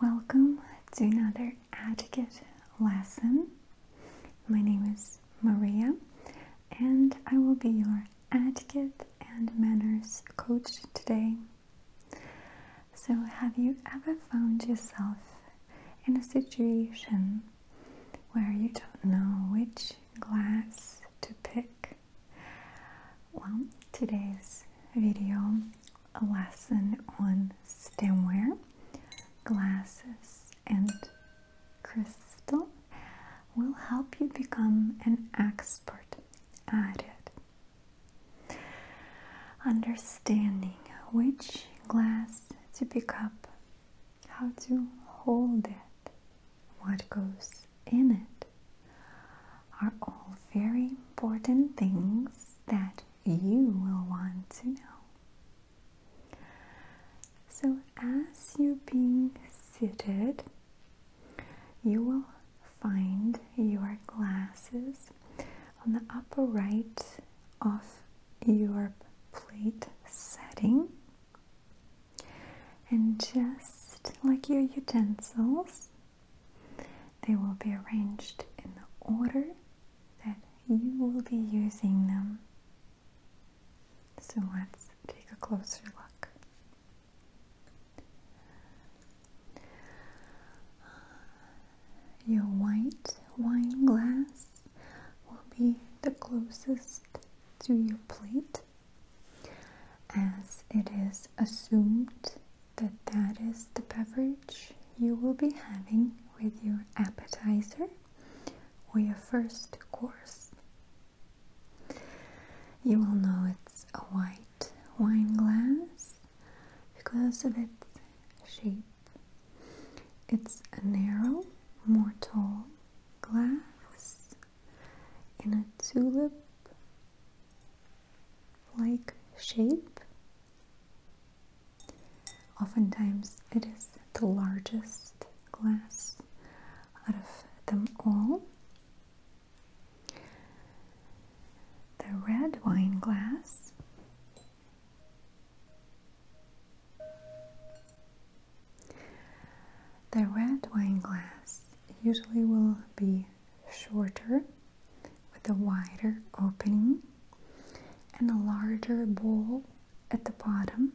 Welcome to another etiquette lesson. My name is Maria and I will be your etiquette and manners coach today. So, have you ever found yourself in a situation where you don't know which glass to pick. Well, today's video, a lesson on stemware, glasses, and crystal will help you become an expert at it. Understanding which glass to pick up, how to hold it, what goes in it are all very important things that you will want to know. So, as you're being seated, you will find your glasses on the upper right of your plate setting and just like your utensils, they will be arranged in the order that you will be using them. So let's take a closer look. Your white wine glass will be the closest to your plate as it is assumed that that is the beverage you will be having with your appetizer or your first course. You will know it's a white wine glass because of its shape. It's a narrow, more tall glass in a tulip like shape. Oftentimes, it is the largest glass out of them all. The red wine glass the red wine glass usually will be shorter with a wider opening and a larger bowl at the bottom.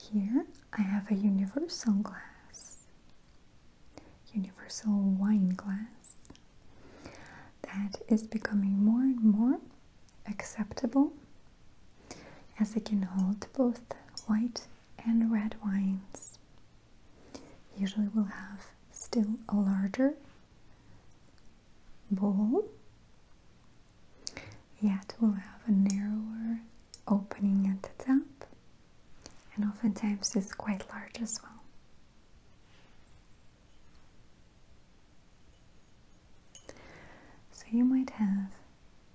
Here I have a universal glass, universal wine glass that is becoming more and more acceptable as it can hold both white and red wines. Usually we'll have still a larger bowl, yet we'll have a narrower opening at the top and oftentimes it's quite large as well. So you might have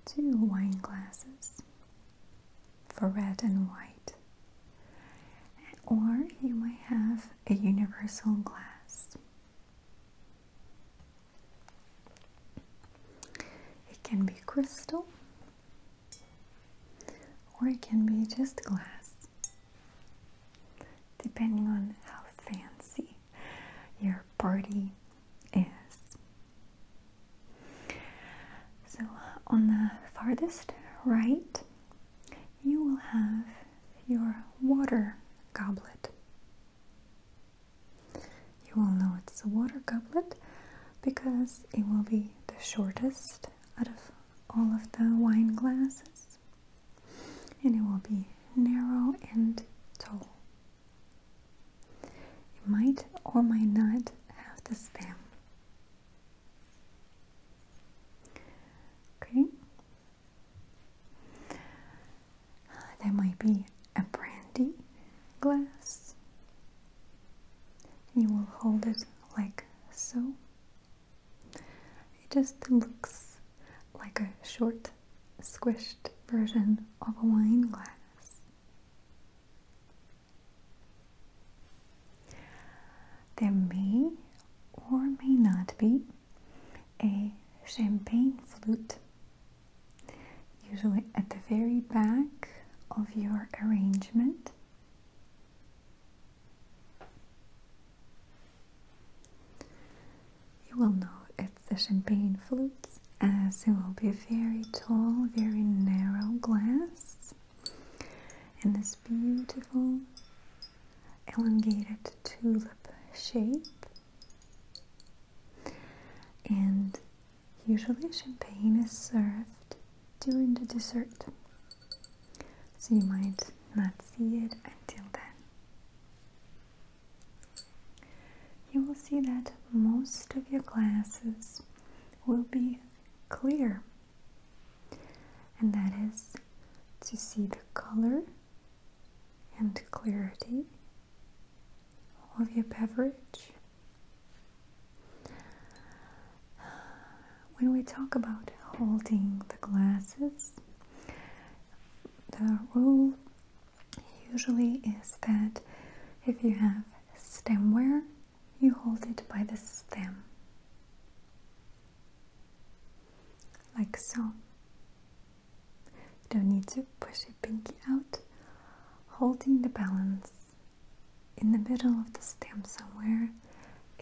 two wine glasses for red and white. Or you may have a universal glass. It can be crystal or it can be just glass, depending on how fancy your party is. So on the farthest right, you will have your water goblet. You will know it's a water goblet because it will be the shortest out of all of the wine glasses and it will be narrow and tall. It might or might not have the stem. Okay. There might be a brandy glass. You will hold it like so. It just looks like a short, squished version of a wine glass. There may or may not be a champagne flute, usually at the very back of your arrangement you will know it's the champagne flute, as it will be a very tall, very narrow glass in this beautiful elongated tulip shape. And usually champagne is served during the dessert, so you might not see it until then. You will see that most of your glasses will be clear, and that is to see the color and clarity of your beverage. When we talk about holding the glasses, the rule usually is that if you have stemware, you hold it by the stem, like so. You don't need to push your pinky out, holding the balance in the middle of the stem somewhere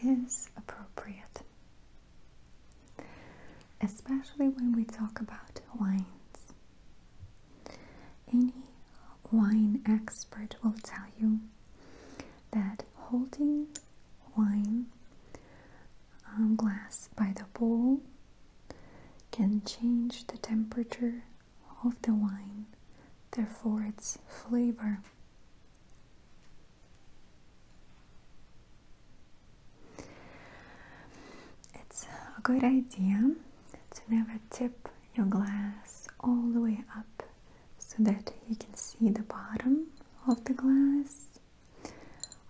is appropriate. Especially when we talk about wines. Any wine expert will tell you that holding wine um, glass by the bowl can change the temperature of the wine, therefore its flavor. It's a good idea to never tip your glass all the way up so that you can see the bottom of the glass.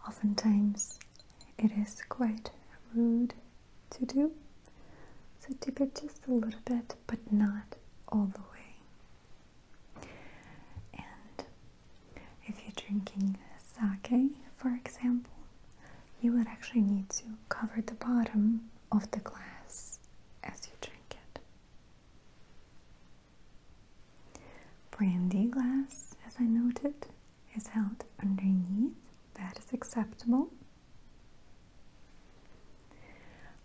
Oftentimes it is quite rude to do. So tip it just a little bit, but not all the way. And if you're drinking sake, for example, you would actually need to cover the bottom of the glass as you drink it. Brandy glass, as I noted, is held underneath. That is acceptable.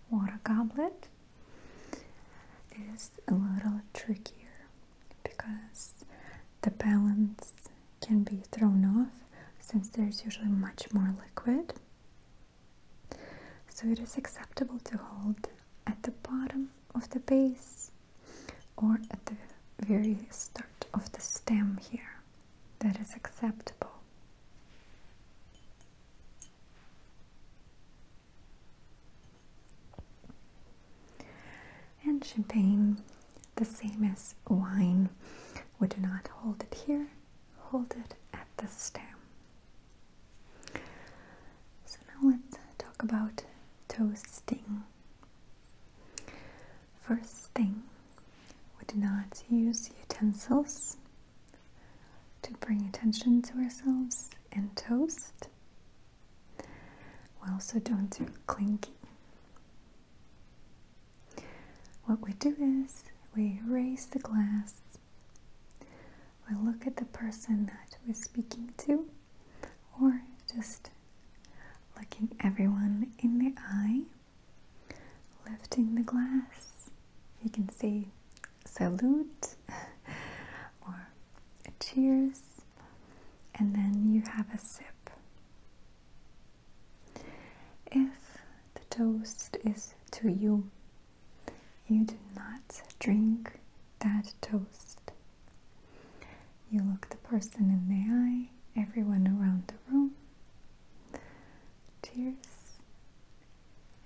Water goblet is a little trickier because the balance can be thrown off since there's usually much more liquid. So it is acceptable to hold at the bottom of the base or at the very start of the stem here. That is acceptable and champagne, the same as wine. We do not hold it here, hold it at the stem. So now let's talk about toasting. First thing, we do not use utensils to bring attention to ourselves and toast. Well, so don't do clinking. What we do is we raise the glass, we look at the person that we're speaking to, or just looking everyone in the eye, lifting the glass. You can say salute or cheers, and then you have a sip. If the toast is to you, you do not drink that toast. You look the person in the eye, everyone around the room. tears,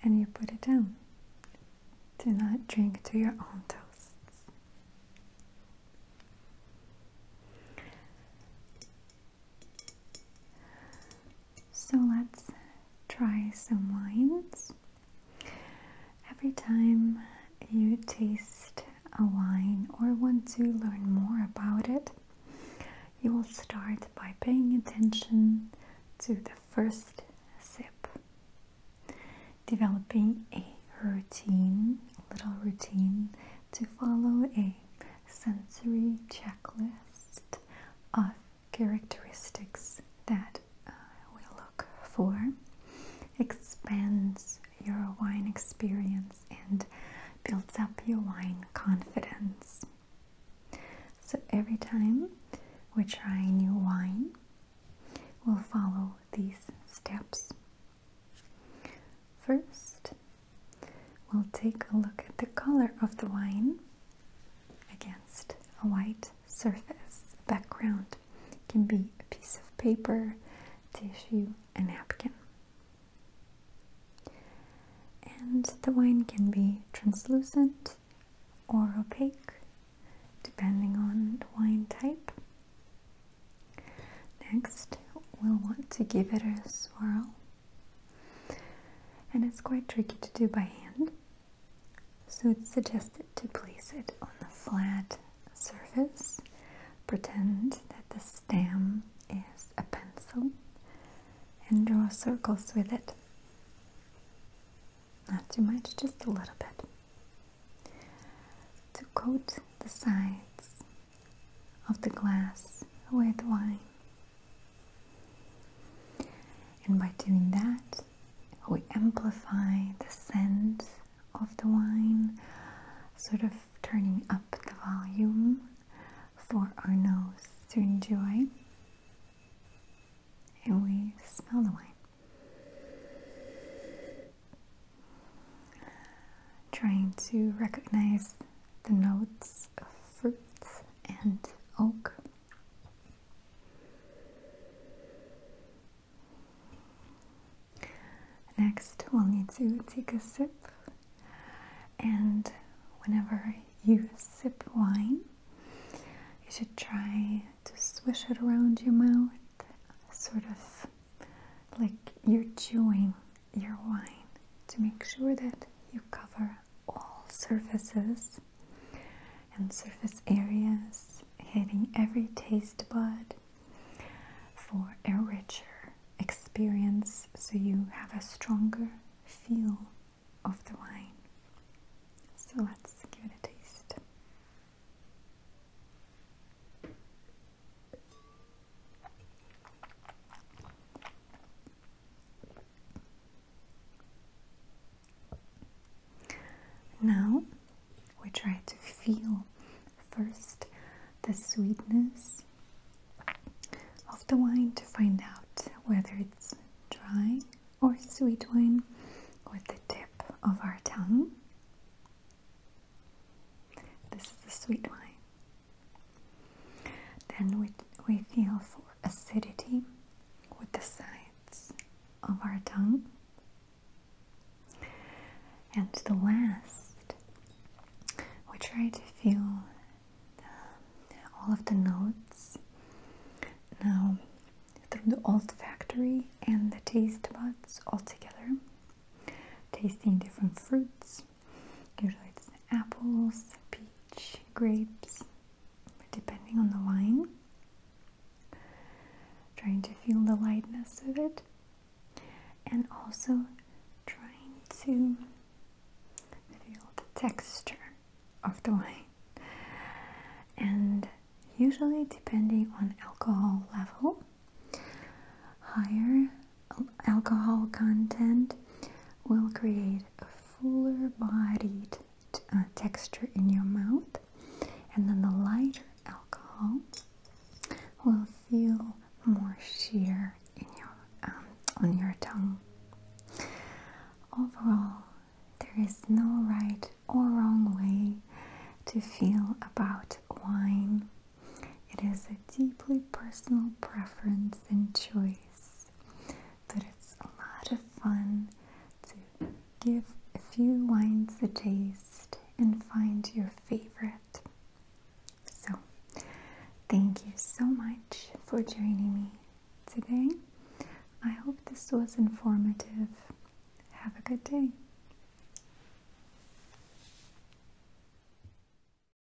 And you put it down. Do not drink to your own toasts. So let's try some wines. Every time you taste a wine or want to learn more about it, you will start by paying attention to the first sip, developing a routine, little routine to follow a sensory checklist of characteristics that uh, we look for expands your wine experience and builds up your wine confidence. So every time we try new wine, we'll follow these steps First, we'll take a look at the color of the wine against a white surface background. It can be a piece of paper, tissue, a napkin. And the wine can be translucent or opaque depending on the wine type. Next, we'll want to give it a swirl. And it's quite tricky to do by hand, so it's suggested to place it on a flat surface. Pretend that the stem is a pencil and draw circles with it. Not too much, just a little bit. To coat the sides of the glass with wine. And by doing that, we amplify the scent of the wine, sort of turning up the volume for our nose to enjoy. And we smell the wine. Trying to recognize the notes of fruit and oak. Next, we'll need to take a sip, and whenever you sip wine, you should try to swish it around your mouth, sort of like you're chewing your wine to make sure that you cover all surfaces and surface areas, hitting every taste bud for a richer experience so you have a stronger feel of the wine. So let's give it a taste. Now we try to feel first the sweetness of the wine to find out whether it's dry or sweet wine with the tip of our tongue. This is the sweet wine. Then we, we feel for acidity with the sides of our tongue. And the last, we try to feel um, all of the notes now through the olfactory and the taste buds all together, tasting different fruits Usually it's apples, peach, grapes, depending on the wine. Trying to feel the lightness of it. And also trying to feel the texture of the wine. And usually depending on alcohol level, higher alcohol content will create a fuller bodied uh, texture in your mouth and then the lighter alcohol will feel more sheer in your um, on your tongue overall there is no right or wrong way to feel about wine it is a deeply personal preference and choice, but it's a lot of fun to give a few wines a taste and find your favorite. So, thank you so much for joining me today. I hope this was informative. Have a good day.